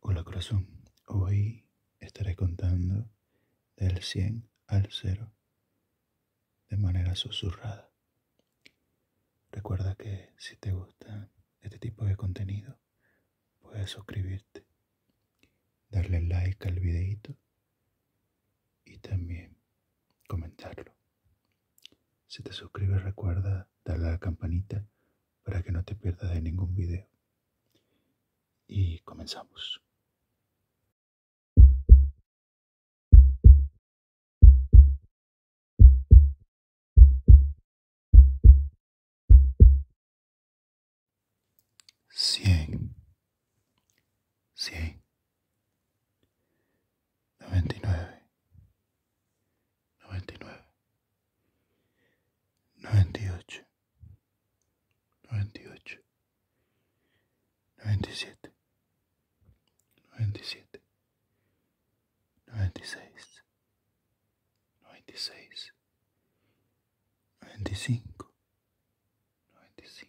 Hola corazón, hoy estaré contando del 100 al 0 de manera susurrada. Recuerda que si te gusta este tipo de contenido, puedes suscribirte, darle like al videito y también comentarlo. Si te suscribes recuerda darle a la campanita para que no te pierdas ningún vídeo y comenzamos 100 100 99 99, 98, 98, 97, 97, 96, 96, 95, 95,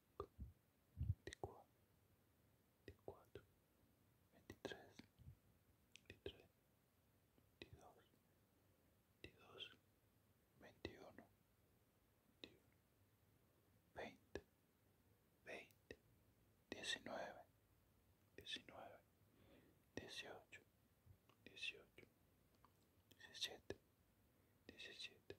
veinticuatro, veintitrés, veintidós, veintiuno, veinte, veinte, diecinueve, diecinueve, dieciocho, dieciocho, diecisiete, diecisiete,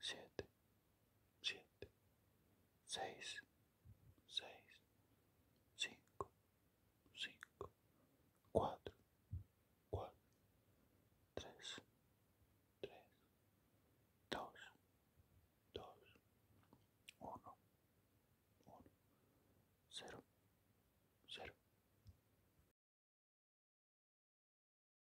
siete, siete, seis, seis, cinco, cinco, cuatro, cuatro, tres, tres, dos, dos, uno, uno, cero, cero.